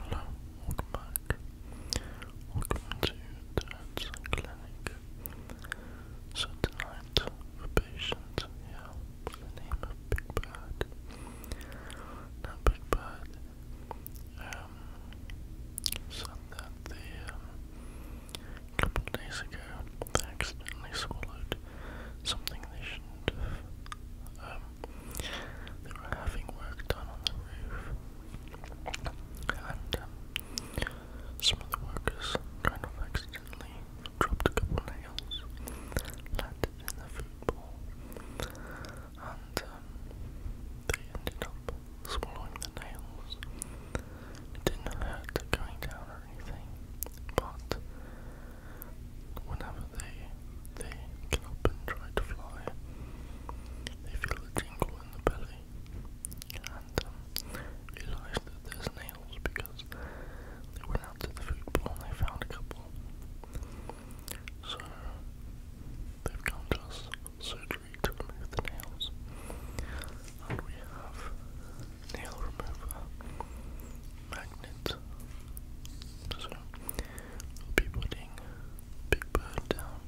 Hello, welcome back. Welcome to Dad's Clinic. So tonight, the patient here, by name of Big Bird. Big Bird um, said that a um, couple days ago, they accidentally swallowed something they shouldn't um, they were having work done on the roof, and um, some of the workers kind of accidentally dropped a couple nails, landed in the food bowl, and um, they ended up swallowing the nails. didn't hurt going down or anything, but whenever they, they get up and try to fly. They feel a tingle in the belly and um, realize that there's nails because they went out to the food bowl and they found a couple. So they've come to us surgery to remove the nails. And we have nail remover magnet. So We'll be putting Big Bird down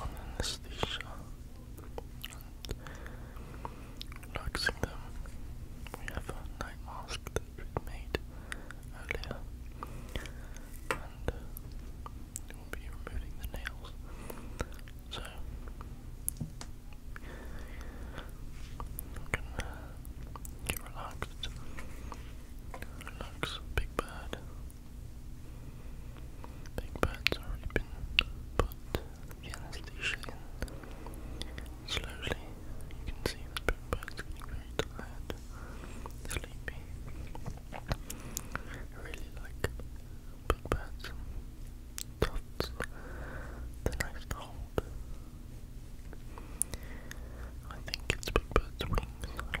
on anesthesia relaxing them. We have a night mask that earlier, and we'll be removing the nails. So, you can uh, get relaxed Relax, Big Bird. Big Bird's already been put the anesthesia Slowly, you can see that Big Bird's getting very tired, sleepy. really like Big Bird's tufts. They're nice to hold. I think it's Big Bird's wings, I do but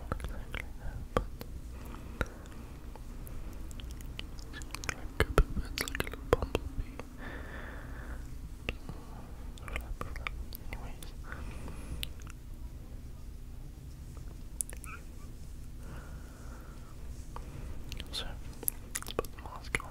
like a like a little bumblebee. So, let's put the mask on.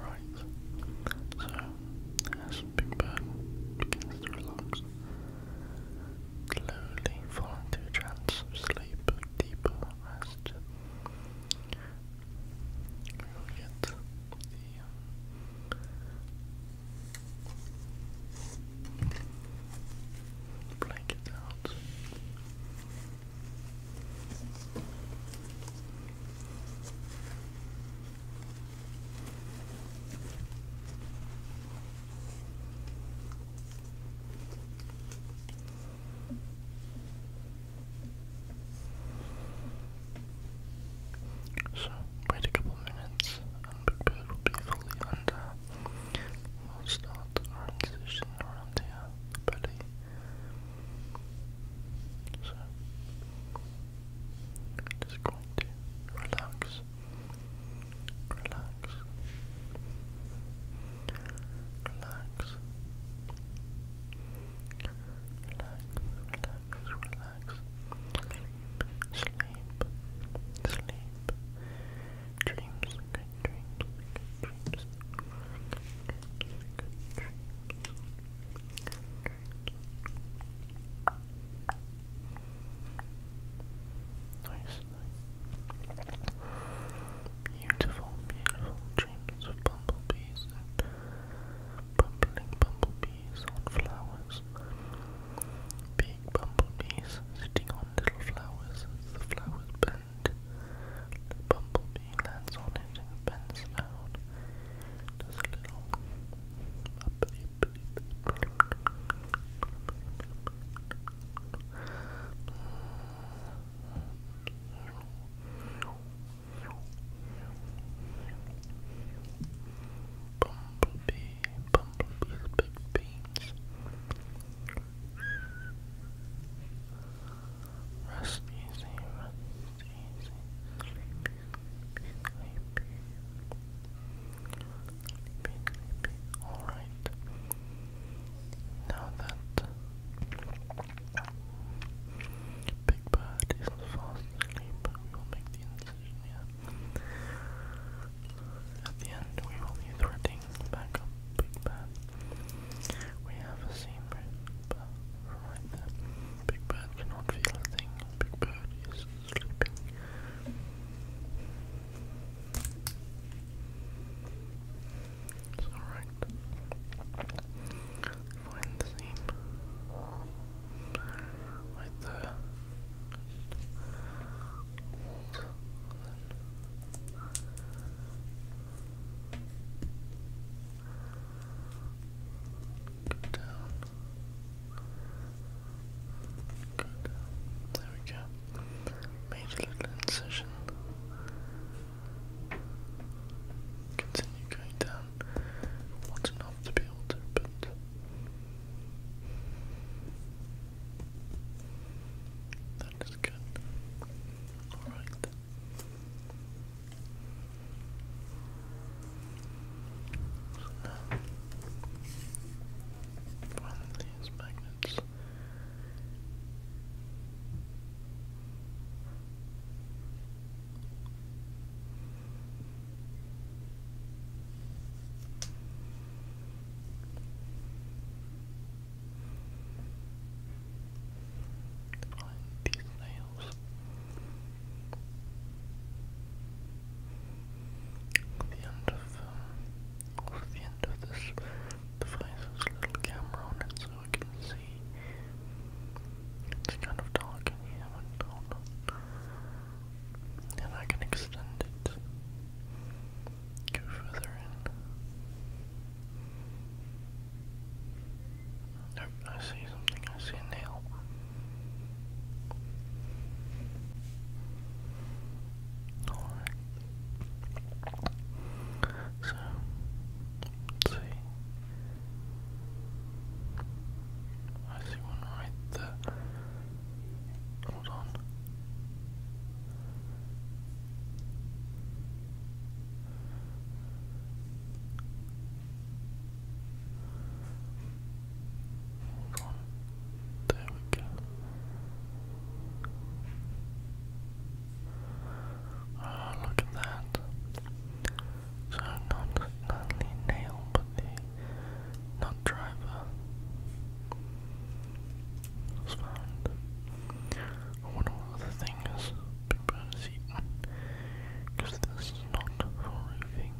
Right, so as Big Bird begins to relax, slowly fall into a trance of sleep, deeper rest, we get the um, Blanket out. So, wait a couple minutes unprepared will be fully under. We'll start the transition around here, uh, So, just going to relax, relax, relax. Relax, relax, relax relax. Sleep, sleep. Dreams, good dreams, good dreams. Nice, Beautiful, beautiful dreams of bumblebees bumbling bumblebees on flowers flowers. Big bumblebees sitting on little flowers the flowers bend. The bumblebee lands on it and bends down. Does a little Bumblebee, Bumblebee's big beans. Rest easy, rest easy. Sleepy, sleepy, sleepy. Sleepy, Alright. Now that Big Bird is fast asleep, we will make the incision here. At the end, we will be threading back up Big Bad. We have a seam right there. Big Bird cannot feel a thing. Big Bird is sleeping. It's alright. Find the seam right there. Go down. Go down. There we go. Made a little incision. Continue going down. Not enough to be able to, but that is good. All right. So now, from these magnets. Find these nails. The end of um, the end of this device is a little camera on it, so I can see. It's kind of dark in here, and I can extend it. Go further in. Nope, I see something. I see a nail. Alright. So, let I see one right there. There we go. oh, look at that. So not only nail, but the truck driver was found. I wonder what the thing is Big Bird has eaten, because this is not for roofing.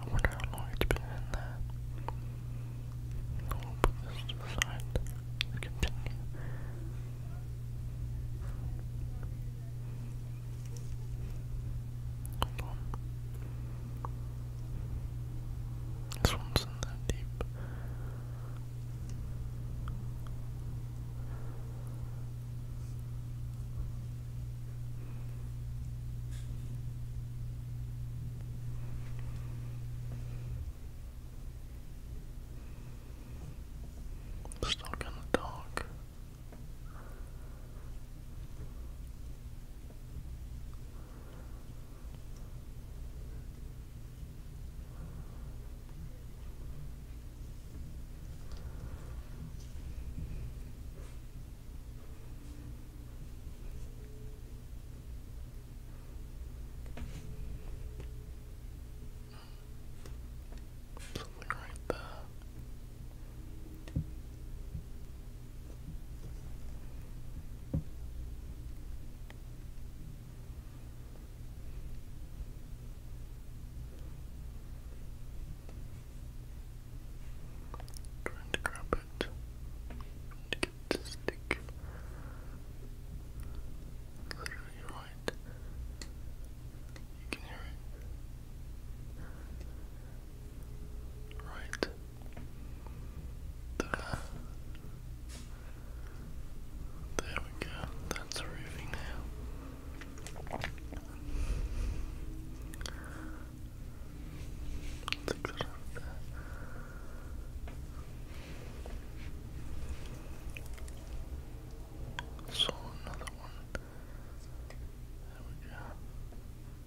I wonder how long it's been in there. I'll put this to the side continue. This one's in that deep. Stuck in the dark. Something right there. Trying to grab it. to get the stick. Literally right. You can hear it right? There. There we go. That's roofing now. That's a good Saw another one. There we go.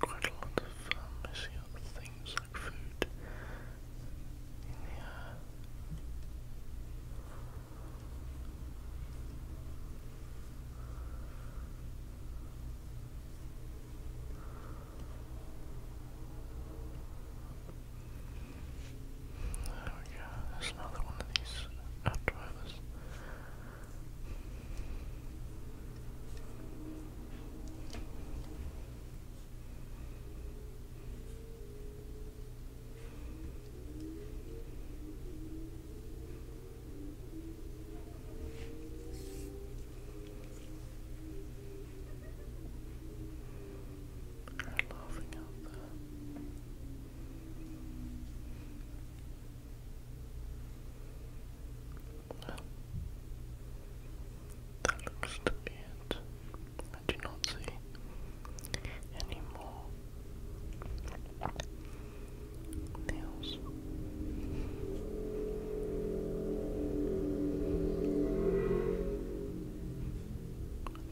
Quite a lot of um, missing things like food in the air. There we go, another one of these outdrivers. They're laughing out there. that looks to be it. I do not see any more nails.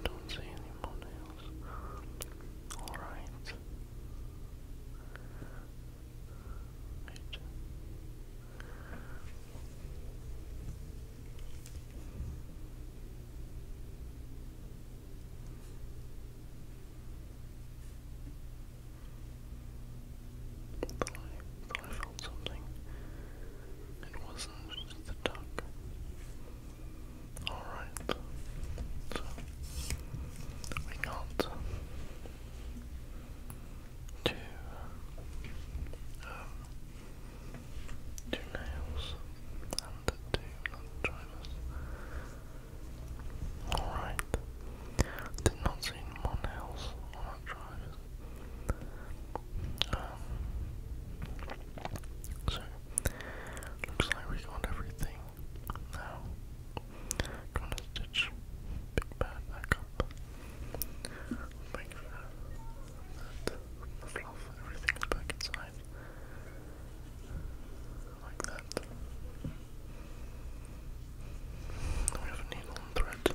Don't see any more nails. Alright. Right. I I felt something. It wasn't the duck. Alright. we got two um, two nails and two non-drivers. Alright. Did not see more nails on our drivers. Um, so, looks like we got everything now. Gonna stitch Big Bad back up. Make that fluff, everything's back inside. Like that. We have a needle and thread.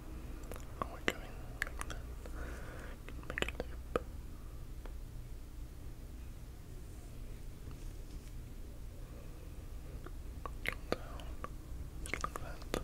I want to like that. Make a loop. Come down. like that.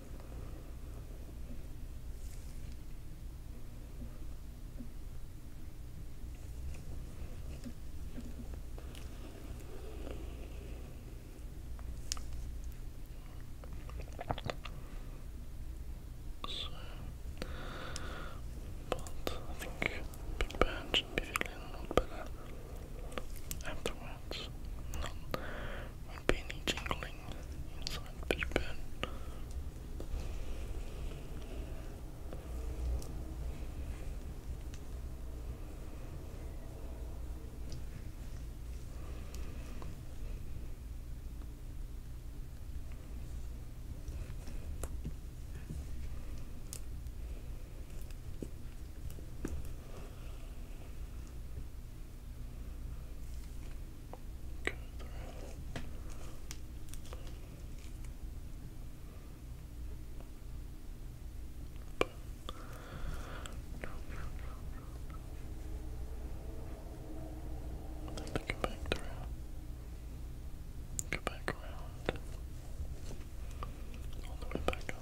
So, but I think Big Band should be feeling a lot better afterwards. Not a penny jingling inside the fish pen. Go through. back through. Go back around. All the way back up.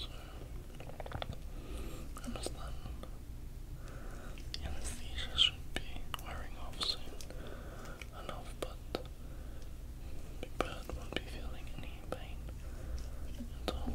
So, I The anesthesia should be wearing off soon enough, but Big Bird won't be feeling any pain until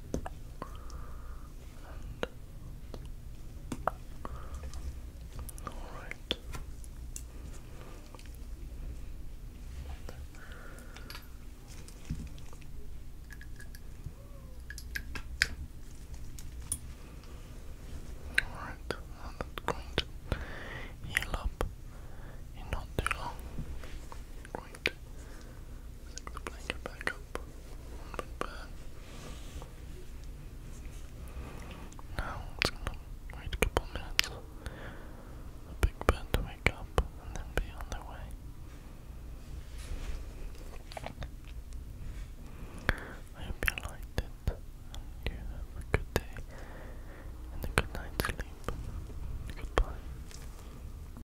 And all right. Alright, and going to heal up in not too long. Going Stick the blanket back up a bit Now it's gonna wait a couple minutes big bird to wake up and then be on their way. I hope you liked it and you have a good day and a good night's sleep. Goodbye.